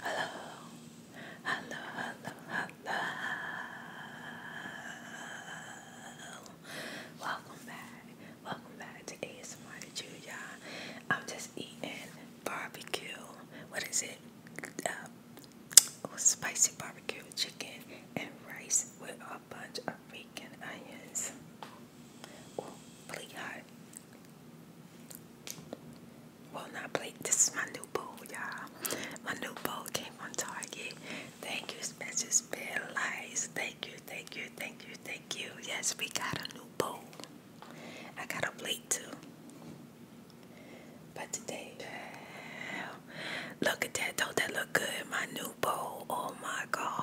Hello, hello, hello, hello. Welcome back, welcome back to ASMR to you, y'all. I'm just eating barbecue. What is it? Uh, oh, spicy barbecue chicken and rice with a bunch of bacon onions. Oh, really well, not plate. This is my new bowl, y'all. My new bowl came from Target. Thank you, Spencer's Bell Lies. Thank you, thank you, thank you, thank you. Yes, we got a new bowl. I got a blade too. But today, look at that. Don't that look good? My new bowl. Oh my God.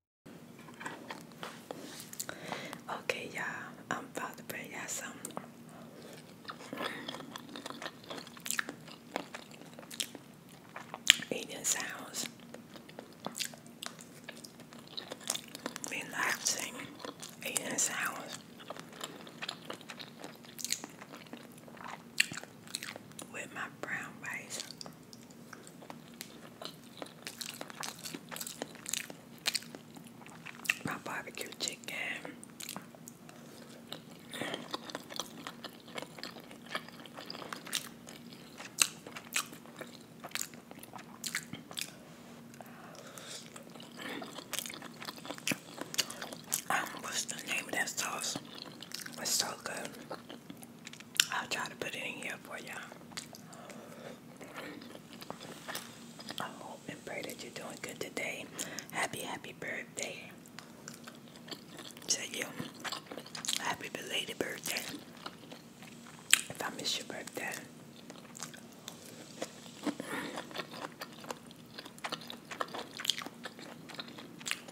Okay, y'all, I'm about to bring y'all something. Eating sounds relaxing, eating sounds with my brown rice. My barbecue chicken. Um, what's the name of that sauce? It's I'll try to put it in here for y'all. I hope and pray that you're doing good today. Happy, happy birthday to you. Happy belated birthday. If birthday.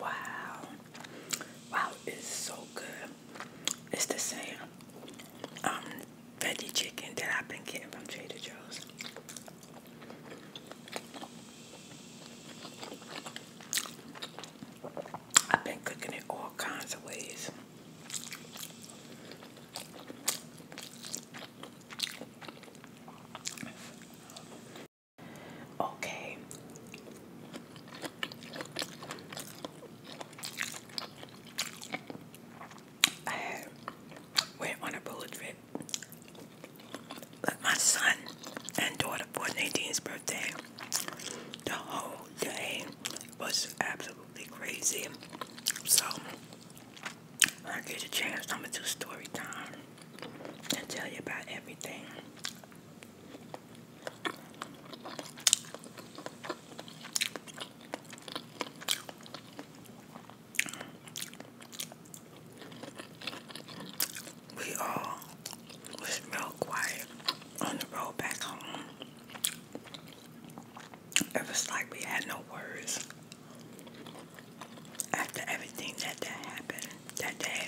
Wow. Wow, it's so good. It's the same um veggie chicken that I've been getting from Trader Joe's. I've been cooking it all kinds of ways. Okay. I went on a bullet trip but my son and daughter for Nadine's birthday, the whole day was absolutely crazy. So I get a chance, I'm gonna do story time and tell you about everything. We all was real quiet on the road back home. It was like we had no words. After everything that, that happened that day,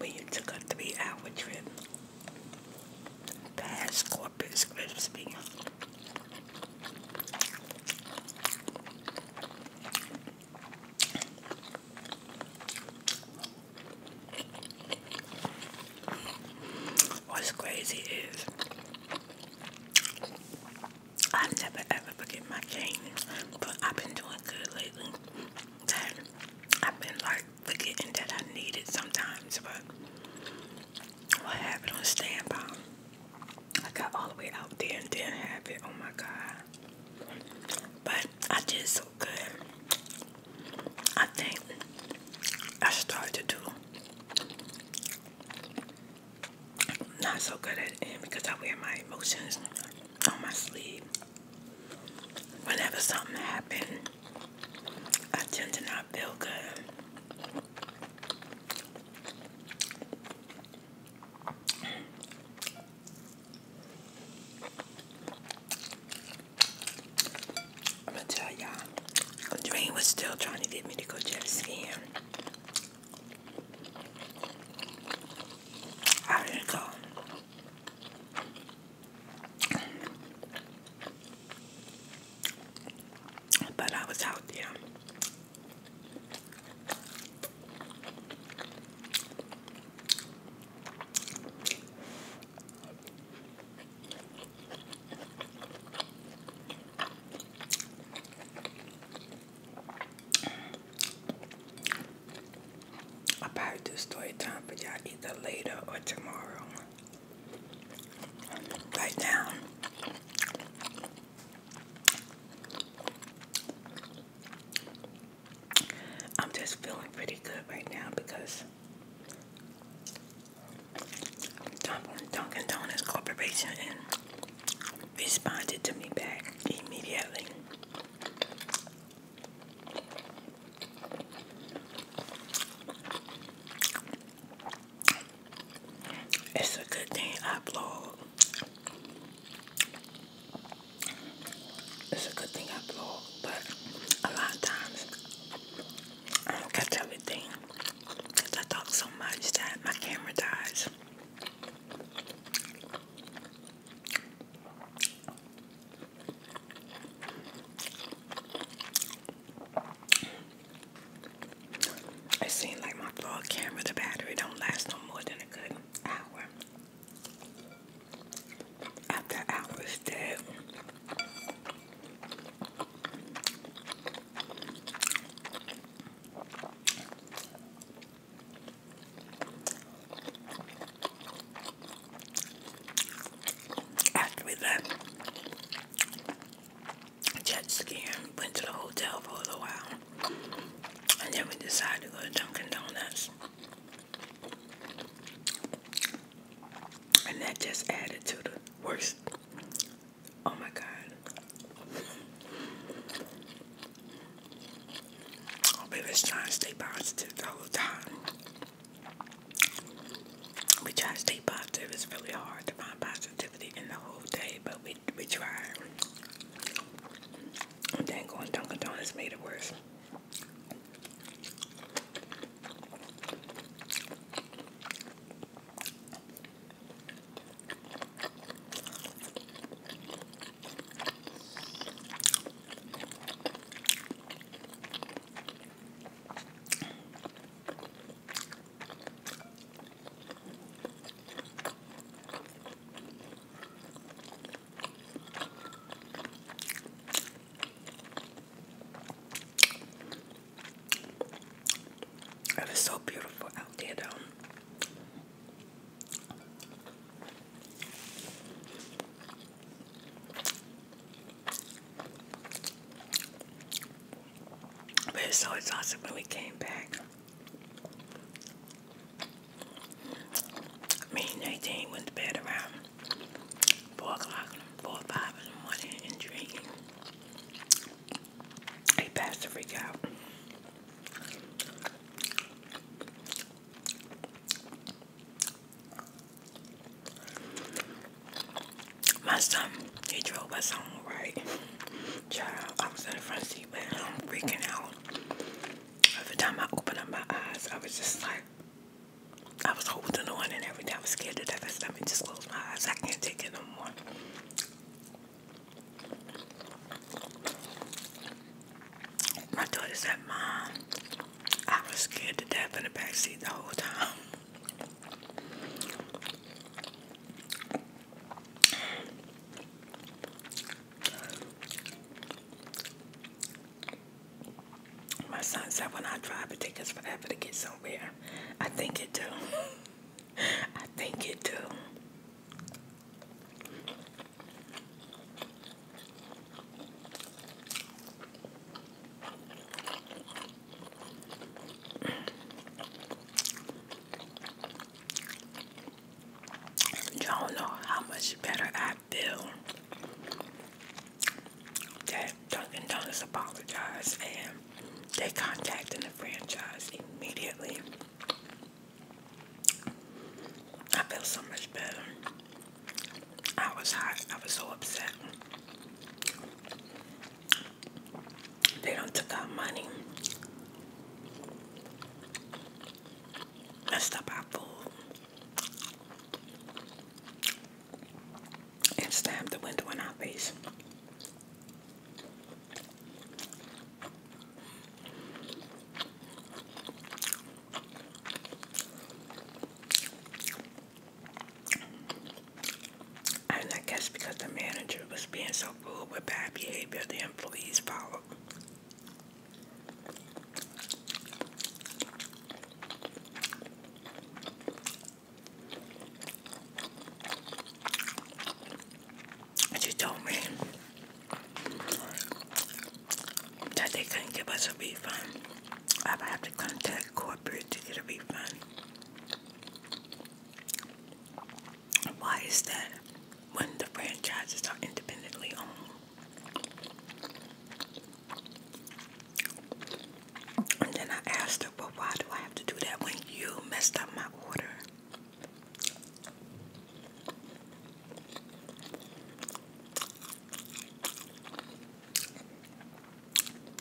we took a three hour trip Past corpus crispy. What's crazy is I never ever forget my cane, but I've been doing good lately. I've been like forgetting that I need it sometimes, but I have it on standby. I got all the way out there and didn't have it. Oh my god. But I did so good. I think I started to do not so good at end because I wear my emotions on my sleeve. Whenever something happened, I tend to not feel good. I'm gonna tell y'all, Dream was still trying to get me to go jet skiing. I didn't go. But I was out there. I'll probably do story time for y'all either later or tomorrow. Right now, I'm just feeling pretty good right now because Dunkin' Donuts Corporation responded to me back immediately. It's a good thing I vlog. It's a good thing I vlog, but a lot of times I don't catch everything because I talk so much that my camera dies. It seemed like my vlog camera, the battery don't last no more than a good hour. After hours dead. After we left, jet skiing, went to the hotel for a while, and then we decided to go to Dunkin' Donuts. And that just added to the worst. Oh my god. We're oh, just trying to stay positive the whole time. We try to stay positive. It's really hard to find positivity in the whole day, but we we try. And then going Dunkin' Donuts made it worse. It is so beautiful out there, though. But it was so exhausted when we came back. Me and Nadine went to bed around 4 o'clock, 4 or 5 in the morning and drinking. He passed the freak out. My son, he drove us home, right? Child, I was in the front seat, but I'm freaking out. Every time I open up my eyes, I was just like, I was holding on and everything. I was scared to death. I said, let just close my eyes. I can't take it no more. My daughter said, Mom, I was scared to death in the back seat the whole time. My son said when I drive it takes us forever to get somewhere. I think it do. I think it do. Y'all know how much better I feel that Dunkin' Donuts apologized and they contacted the franchise immediately. I feel so much better. I was hot. I was so upset. They don't took our money. Messed up our food. And slammed the window in our face. I guess because the manager was being so cool with bad behavior, the employees followed. And she told me that they couldn't give us a refund. I would have to contact corporate to get a refund. Why is that when the franchises are independently owned? And then I asked her, well, why do I have to do that when you messed up my order?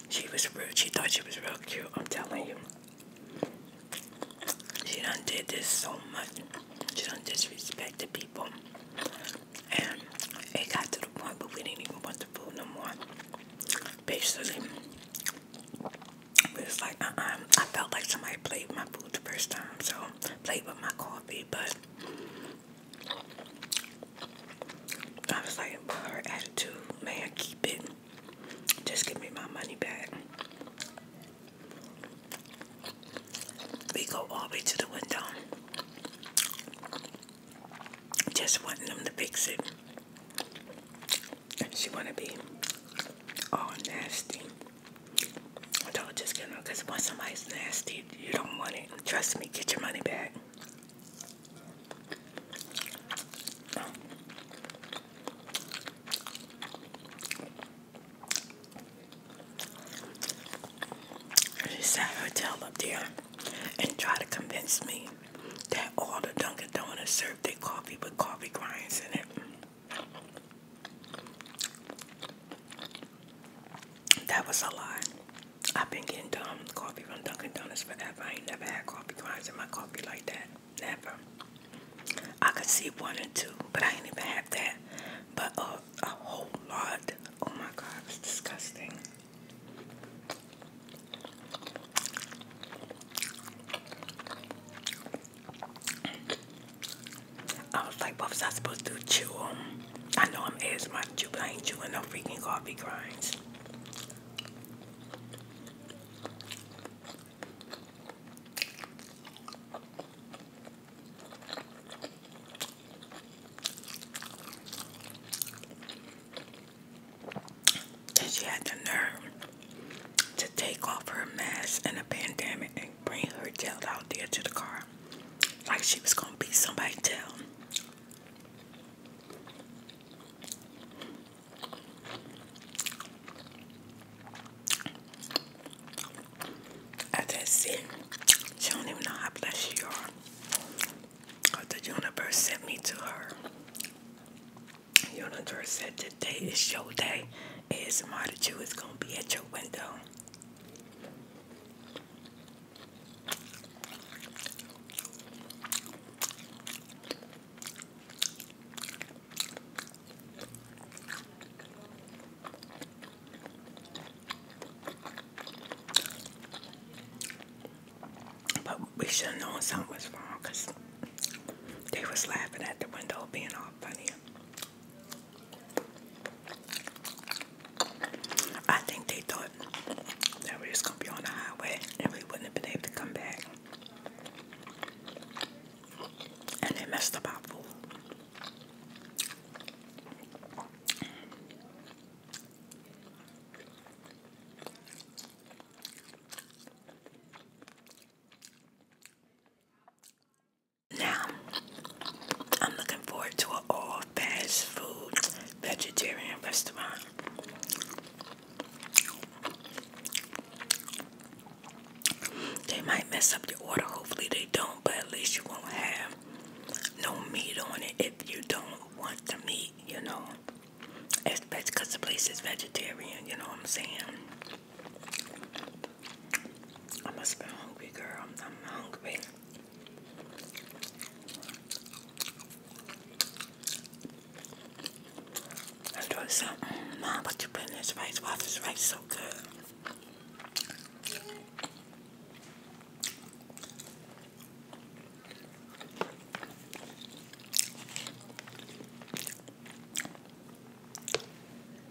She was rude. She thought she was real cute. I'm telling you. She done did this so much. She done disrespect the people. And it got to the point where we didn't even want the food no more. Basically, it was like, uh-uh, I felt like somebody played with my food the first time. So, played with my car but I was like, her attitude, man, keep it. Just give me my money back. We go all the way to the window. Just wanting them to fix it. She wanna be all nasty. I not just get them because once somebody's nasty, you don't want it. Trust me, get your money back. She sat her tail up there and tried to convince me that all the Dunkin' Donuts served their coffee with coffee grinds in it. That was a lot. I've been getting coffee from Dunkin' Donuts forever. I ain't never had coffee grinds in my coffee like that. Never. I could see one or two, but I ain't even have that. But uh, a whole lot. Oh my god, it's disgusting. I was like, what was I supposed to chew on? I know I'm as much, but I ain't chewing no freaking coffee grinds. And she had the nerve to take off her mask in a pandemic bring her tail out there to the car like she was gonna beat somebody down. After that scene, she don't even know how blessed you are. But the universe sent me to her. The universe said today is your day. ASMR that you It's gonna be at your window. But we should have known something was wrong they was laughing at the window being all funny. I think they thought that we were just gonna be on the highway and we wouldn't have been able to come back. And they messed up our food. Now, I'm looking forward to an all fast food vegetarian restaurant. They might mess up your order, hopefully, they don't, but at least you won't have no meat on it if you don't want the meat, you know. Because the place is vegetarian, you know what I'm saying? I must be hungry, girl. I'm, I'm hungry. Let's try something. Mom, what you put in this rice? Why this rice so good?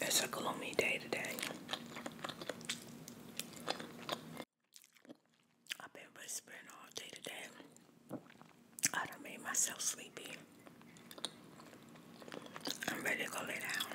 It's a gloomy day today. I've been whispering all day today. I done made myself sleepy. I'm ready to lay down.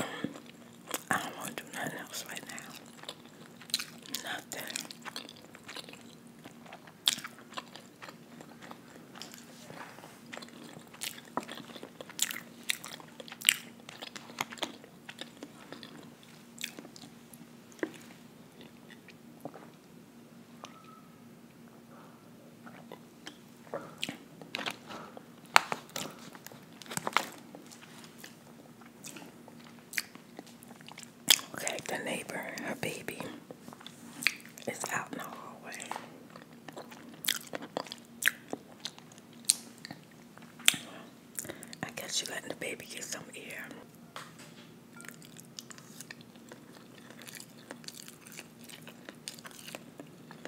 I don't want to do nothing else right now. Nothing. Okay, the neighbor, her baby, is out in the hallway. I guess she's letting the baby get some air.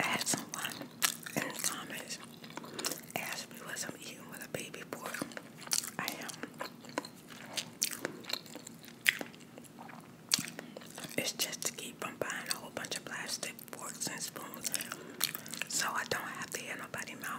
I had someone in the comments ask me what i eating with a baby boy. I am. It's just to keep from buying a whole bunch of plastic forks and spoons so I don't have to hear nobody mouth.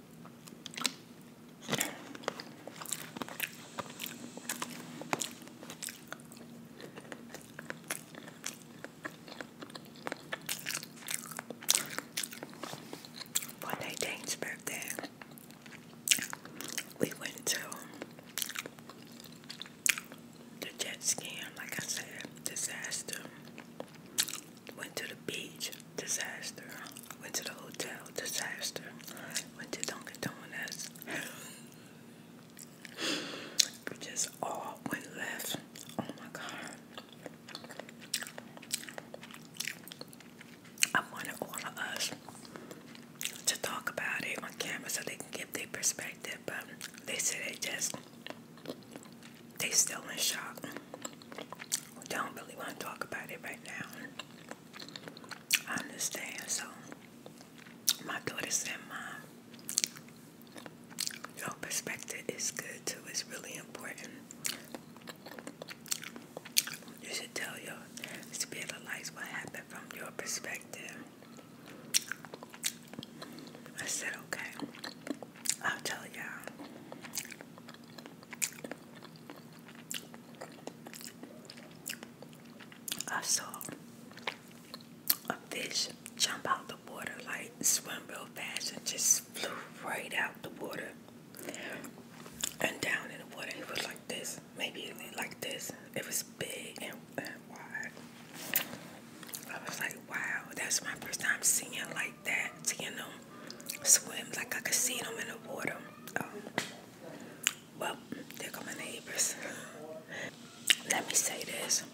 One day, Dane's birthday, we went to the jet ski, like I said, disaster. Went to the beach, disaster. Went to the hotel, disaster. Went to Dunkin' Donuts. we just all went left. Oh my God. I wanted all of us to talk about it on camera so they can give their perspective, but they said they just they still in shock. Don't really want to talk about it right now. I understand. So my daughter said, "Mom, your perspective is good too. It's really important. You should tell your spirit of life what happened from your perspective." I said, "Okay, I'll tell you I saw a fish jump out the water, like swim real fast, and just flew right out the water and down in the water. It was like this, maybe like this. It was big and, and wide. I was like, wow, that's my first time seeing like like that, you know, swim like I could see them in the water. Um, well, there go my neighbors. Let me say this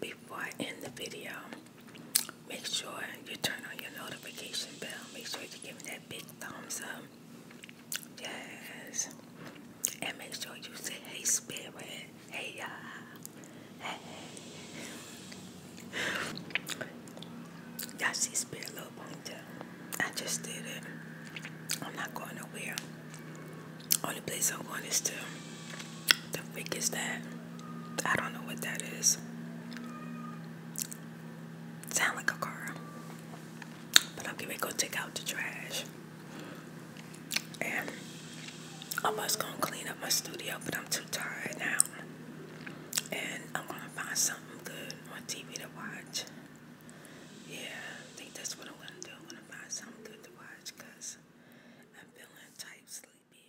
before I end the video. Make sure you turn on your notification bell. Make sure you give me that big thumbs up. Yes. And make sure you say, hey, spirit. Hey, y'all. Hey. you see Spirit up Little top. I just did it. I'm not going nowhere. Only place I'm going is to the freak is that. I don't know what that is. Sound like a car. But I'm gonna go take out the trash. And I was gonna clean up my studio, but I'm too tired now and I'm gonna find something good on TV to watch. Yeah, I think that's what I'm gonna do. I'm gonna find something good to watch I'm feeling type sleepy.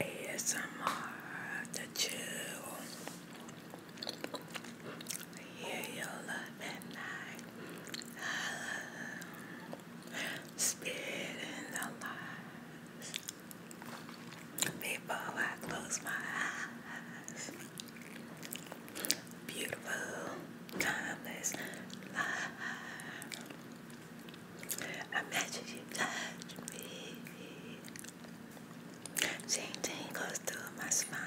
ASMR the chill. Hear your love at night. Love the lives. Before I close my eyes. Beautiful, timeless life. Imagine you touch me. Ting tingles through my spine.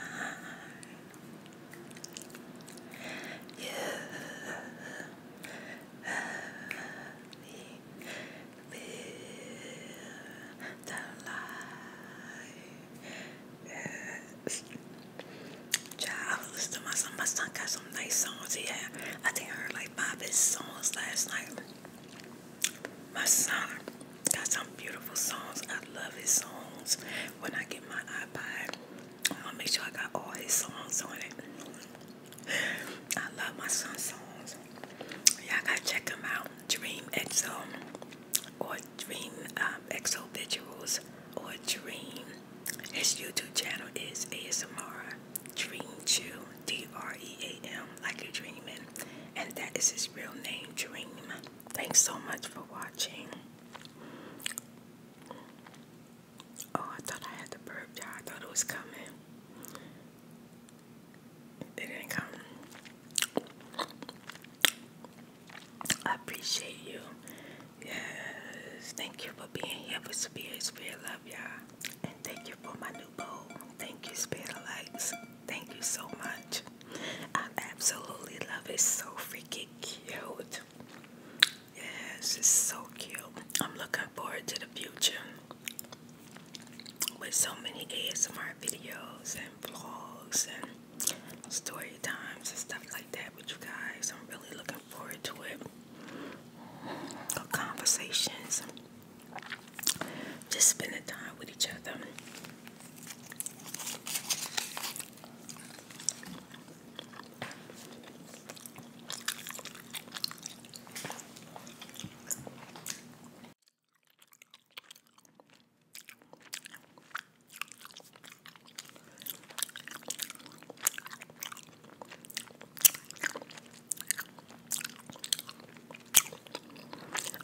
You love me. Feel the light. Yes. Child, I my son. got some nice songs he I think I heard like five of his songs last night. My son got some beautiful songs. I love his songs. When I get my iPad, I'll make sure I got all his songs on it. I love my son's songs. Y'all gotta check him out. Dream EXO or Dream um, EXO Visuals or Dream. His YouTube channel is ASMR Dream Jew, D R E A M, like you're dreaming. And that is his real name, Dream. Thanks so much for watching. Oh, I thought I had the burp, y'all. I thought it was coming. It didn't come. I appreciate you. Yes, thank you for being here for Spirit Spirit Love love And thank you for my new bowl. Thank you, Spitalites. Thank you so much. I absolutely love it. So freaking cute. this is so cute. I'm looking forward to the future with so many ASMR videos and vlogs and story times and stuff like that with you guys. I'm really looking forward to it. Conversations just spending time with each other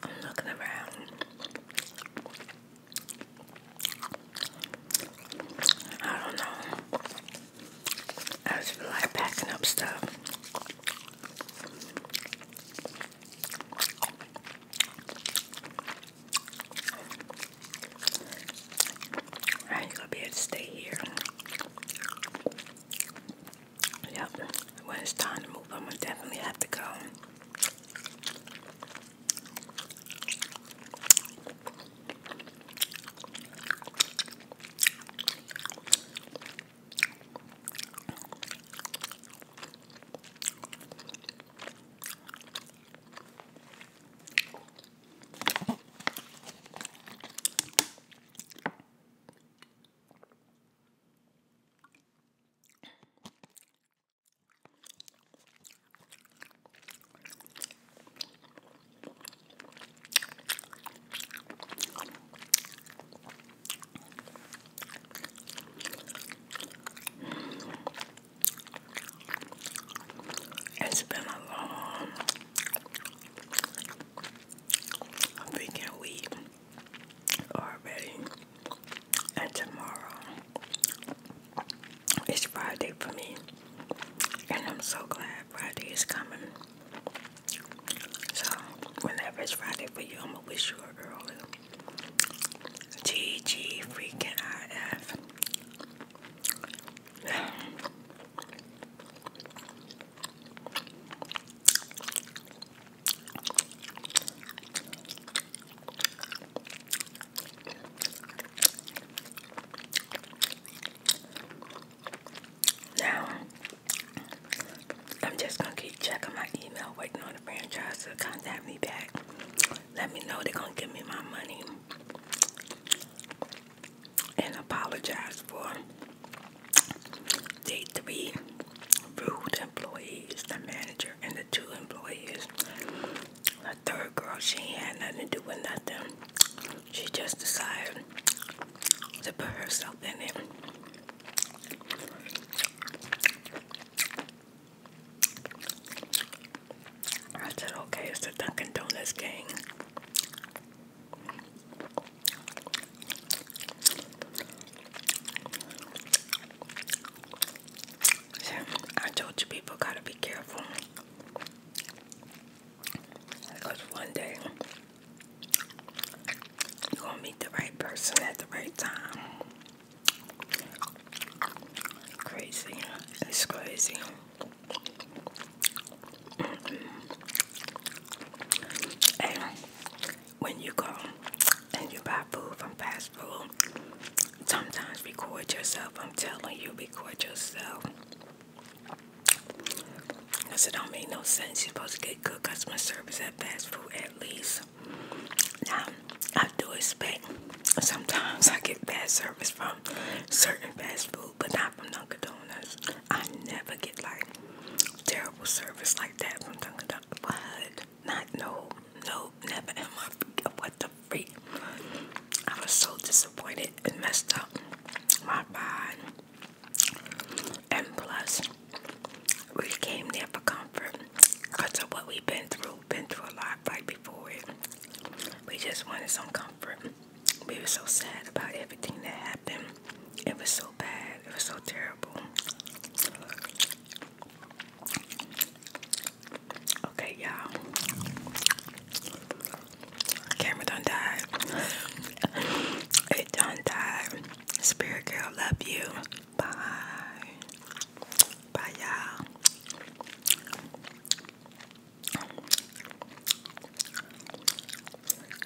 i looking around. I don't know. I just like packing up stuff. I ain't gonna be able stay here. Yep, when it's time to move, I'm gonna definitely have to go. It's been a long I'm freaking weak already. And tomorrow is Friday for me. And I'm so glad Friday is coming. So, whenever it's Friday for you, I'm gonna wish you a girl. GG freaking IF. Now, I'm just gonna keep checking my email, waiting on the franchise to contact me back. Let me know they're gonna give me my money and apologize for the three rude employees, the manager and the two employees. The third girl, she had nothing to do with nothing. She just decided to put herself in it. I said, okay, it's the Dunkin' Donuts gang. I told you people gotta be careful because one day you gonna meet the right person at the right time. Crazy, it's crazy. And when you go and you buy food from fast food, sometimes record yourself. I'm telling you, record yourself. I said, don't make no sense. You're supposed to get good customer service at fast food at least. Now, I do expect sometimes I get bad service from certain fast food, but not from Dunkin' Donuts. I never get like terrible service like that from Dunkin' Donuts. Not no, no, never in my what the freak. I was so disappointed and messed up my mind. And plus, we came there for comfort because of what we've been through. Been through a lot right before it. We just wanted some comfort we were so sad about everything that happened. It was so bad. It was so terrible. Okay, y'all. Camera done died. it done died. Spirit girl, love you. Bye. Bye, y'all.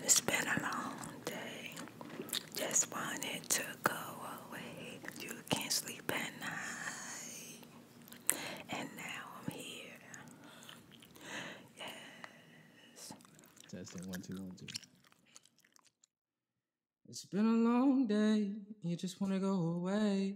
It's been a long day. Just wanted to go away. You can't sleep at night. And now I'm here. Yes. Testing one, two, one, two. It's been a long day. You just want to go away.